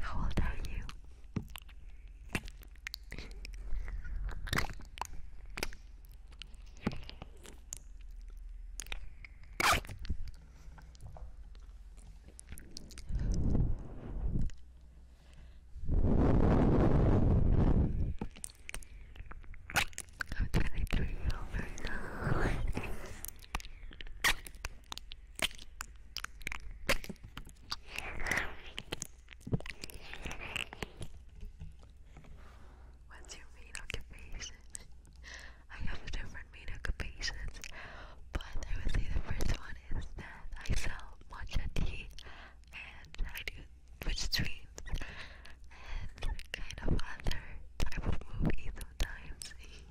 How old are you? I'm twenty three right now. What's your main occupation? I have different main occupations, but I would say the first one is that I sell matcha and I do Twitch and kind of other type of movies sometimes.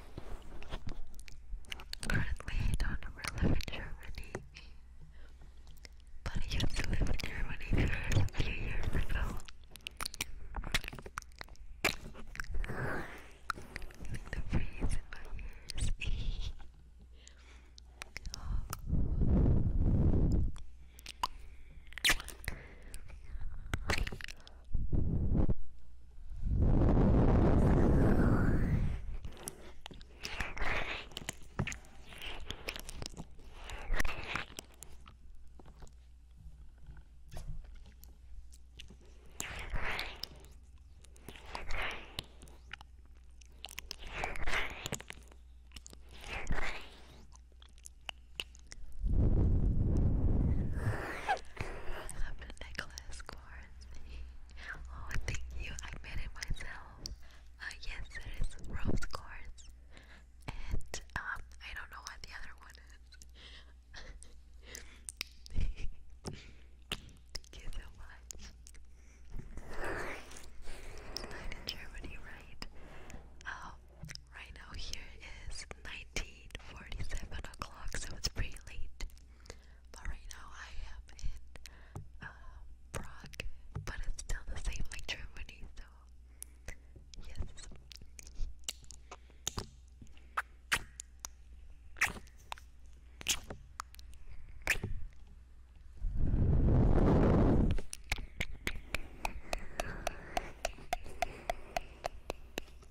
Currently, I don't ever live in Germany, but I used to live in Germany for a few years ago. Feeling the breeze in I'm a necklace cord. Oh, thank you. I made it myself. Uh, yes, there is rose quartz, and um, I don't know what the other one is. thank you so much. It's night in Germany, right? Um, right now here is 1947 o'clock, so it's pretty late. But right now I am in um, Prague, but it's still the same like Germany, so yes.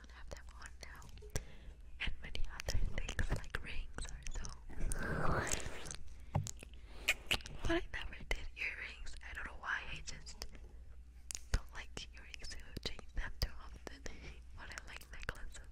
don't have them on now. And many other things like rings so. But I never did earrings. I don't know why. I just don't like earrings. I change them too often. but I like necklaces.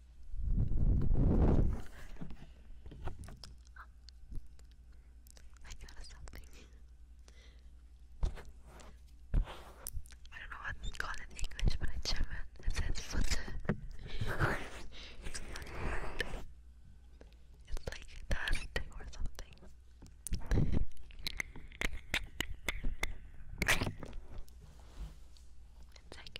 I got something. I don't know what it's called in English, but in German it says Futter. it's like dust or something. One second.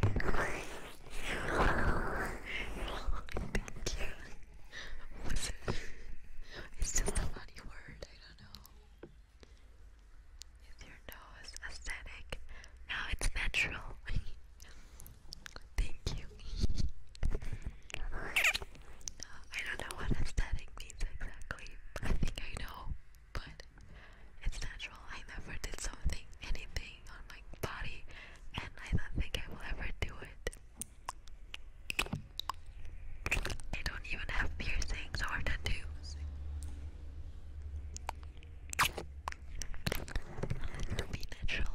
Thank you. What's it? It's just a funny word, I don't know. Is your nose aesthetic? No, it's natural. Thank you. I don't know what aesthetic means exactly. I think I know, but it's natural. I never did something, anything on my body, and I don't think I will ever do it. I don't even have piercings or tattoos. Be natural.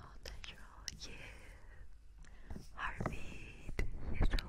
All natural, yeah. Heartbeat is so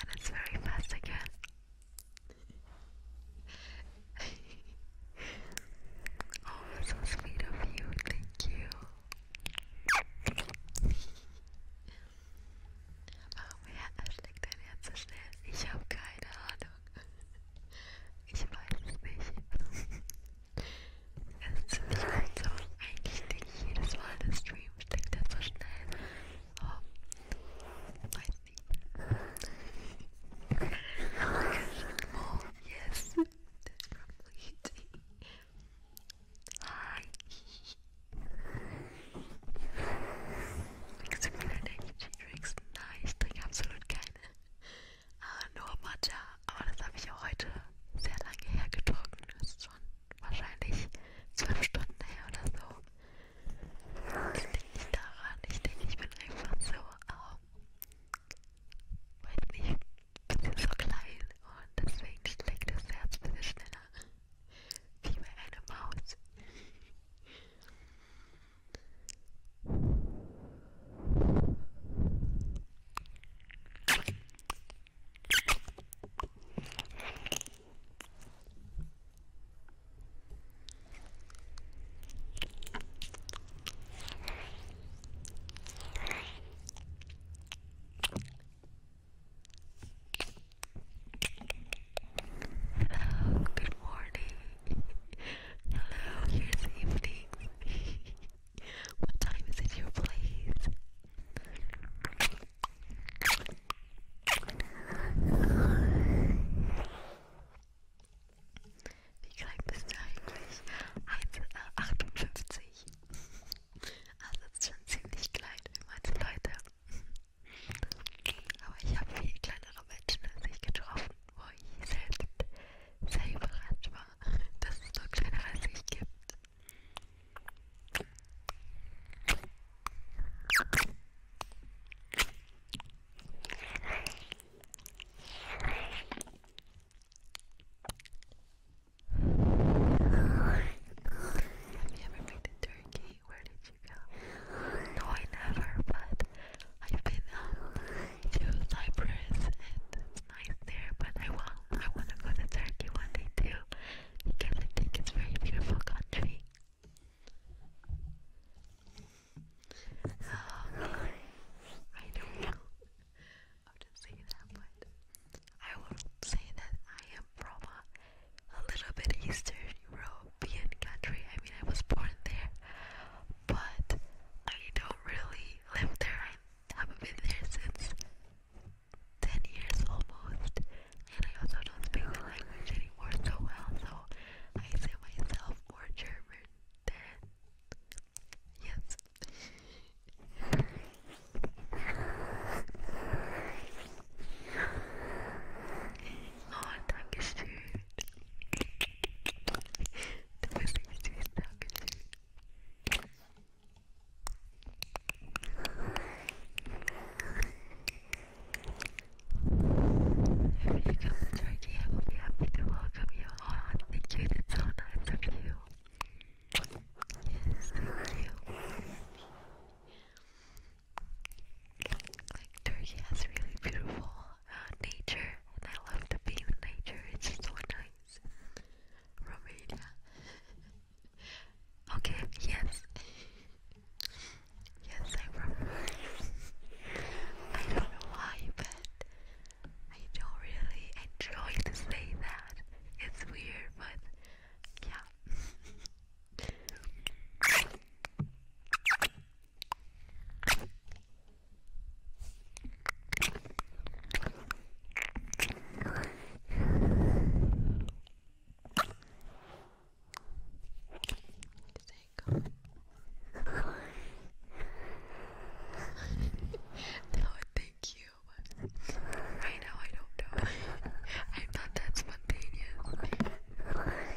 and it's very fast again. oh, so sweet of you, thank you. Woher erschreckt dein Herz so schnell? Ich habe keine Ahnung. Ich weiß es nicht. Es ist ziemlich langsam. Eigentlich denke ich jedes Mal, der Stream steckt er so schnell. Oh, Oh yes, that's completely. Hi. Kannst du mir denken, Gin Drinks? Nein, ich trinke absolut keine. Uh, nur Matcha, aber das habe ich ja heute sehr lange hergetrunken. Das ist schon wahrscheinlich zwölf Stunden her oder so. Das liegt nicht daran. Ich denke, ich bin einfach so arm. Ähm, um, weiß nicht, ein bisschen so klein und deswegen schlägt das Herz ein bisschen schneller. Wie bei einer Maus. good morning. Hello, here's evening. what time is it your place? Wie klein bist du eigentlich? 1, äh, 58. Also ah, ist schon ziemlich klein für manche Leute. Aber ich habe viel kleinere Menschen als ich getroffen, wo ich selbst sehr überrascht war, dass es nur kleinere als ich gibt. Have you ever been to Turkey? Where did you go? No, I never, but I've been um, to Cyprus and it's nice there, but I want, I want to go to Turkey one day too because I think it's very beautiful country. Okay. I don't know how to say that, but I will say that I am from a, a little bit Eastern European country. I mean, I was born there, but I don't really live there. I haven't been there since 10 years almost and I also don't speak the language anymore so well, so I say myself more German than yes. oh, Dankeschön. Du bist nicht süß, Dankeschön. If you come to Turkey, I will be happy to welcome you Thank you, that's so nice of you. Yes, thank you. Like, Turkey has really beautiful nature, and I love to be in nature, it's so nice. Romania. okay, yes. Yes, I remember. I don't know why, but I don't really enjoy to say that. It's weird, but yeah no, thank you. Right now, I don't know. I'm not that spontaneous. Hey.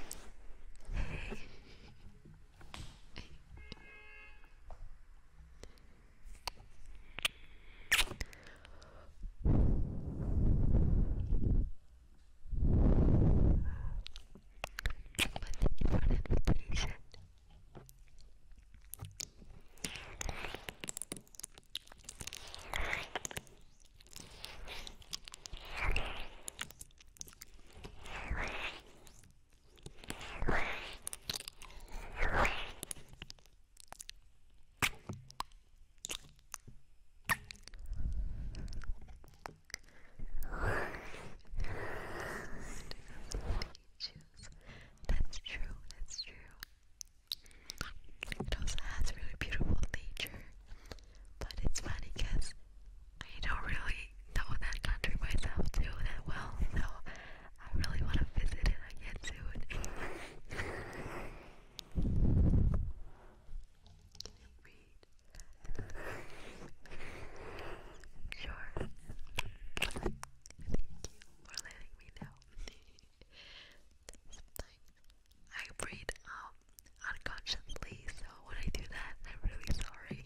But thank you for the invitation. That's true, that's true. It also has really beautiful nature, but it's funny because I don't really know that country myself too that well, so I really want to visit it again soon. Can it Sure. Thank you for letting me know. I breathe um unconsciously, so when I do that, I'm really sorry.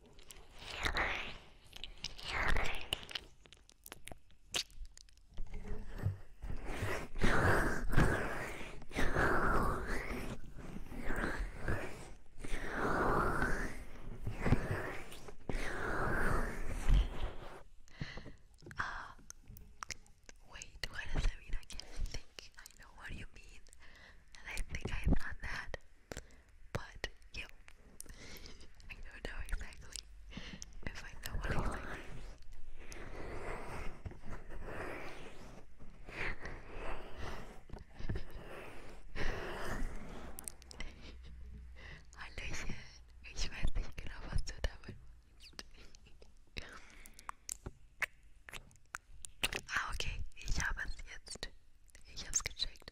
Uh, wait, what does that mean? I think. I know what you mean. And I think I thought that But yeah, I don't know exactly if I know what exactly. Hallöchen, ich weiß nicht genau, was du damit meinst. ah, okay, ich habe es jetzt. Ich habe es gecheckt.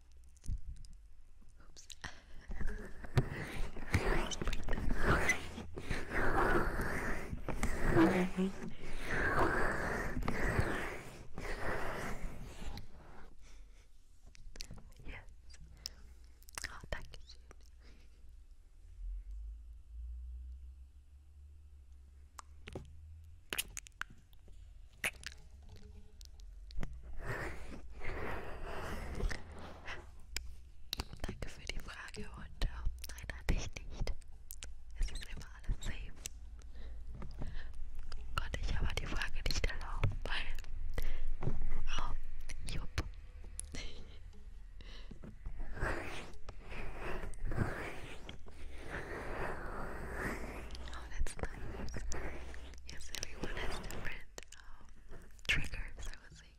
yes. Oh, thank you. Danke für die Frage und äh, nein, hatte ich nicht. Es ist immer alles safe. Konnte ich aber die Frage nicht erlauben, weil. Oh, ähm, jupp. Oh, that's nice. Yes, everyone has different um, triggers, I would say.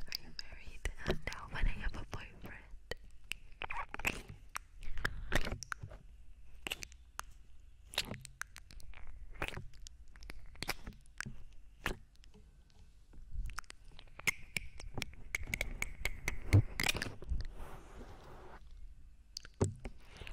Are you married? Uh, no, but I have a boyfriend. Once I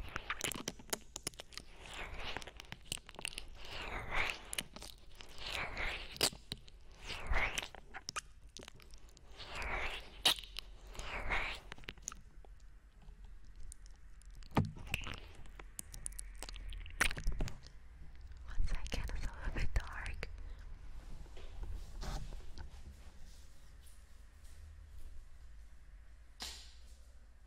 get it's a little bit dark.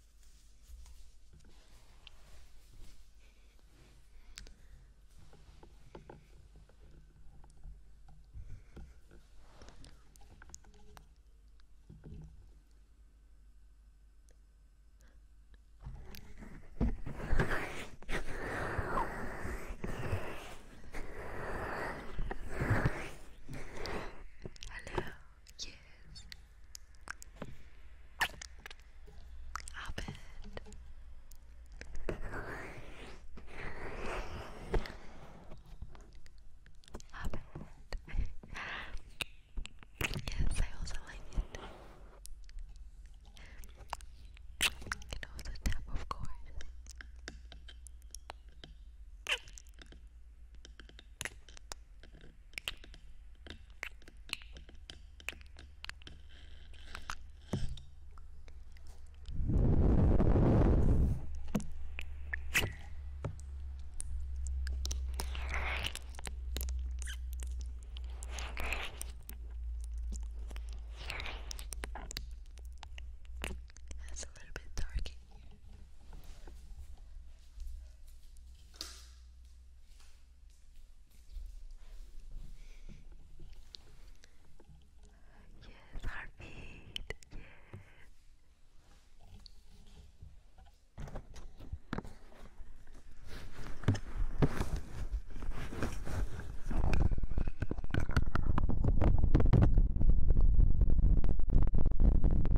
Hello, you please. Hop yes, I also like it. You know the tap, of course. It's a little bit dark in here. Yes, heartbeat. Yes.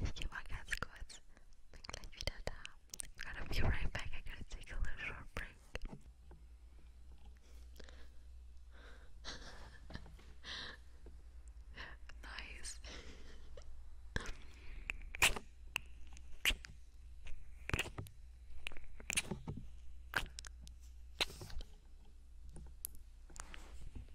Ich gehe mal ganz kurz. Bin gleich wieder da. I'm gonna be right back. I'm to take a little short break. nice.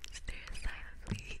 Stare silently.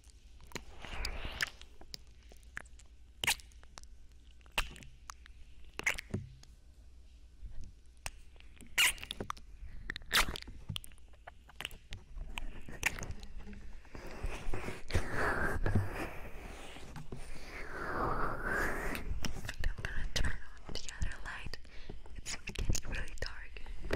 I'm gonna turn on the other light. It's getting really dark.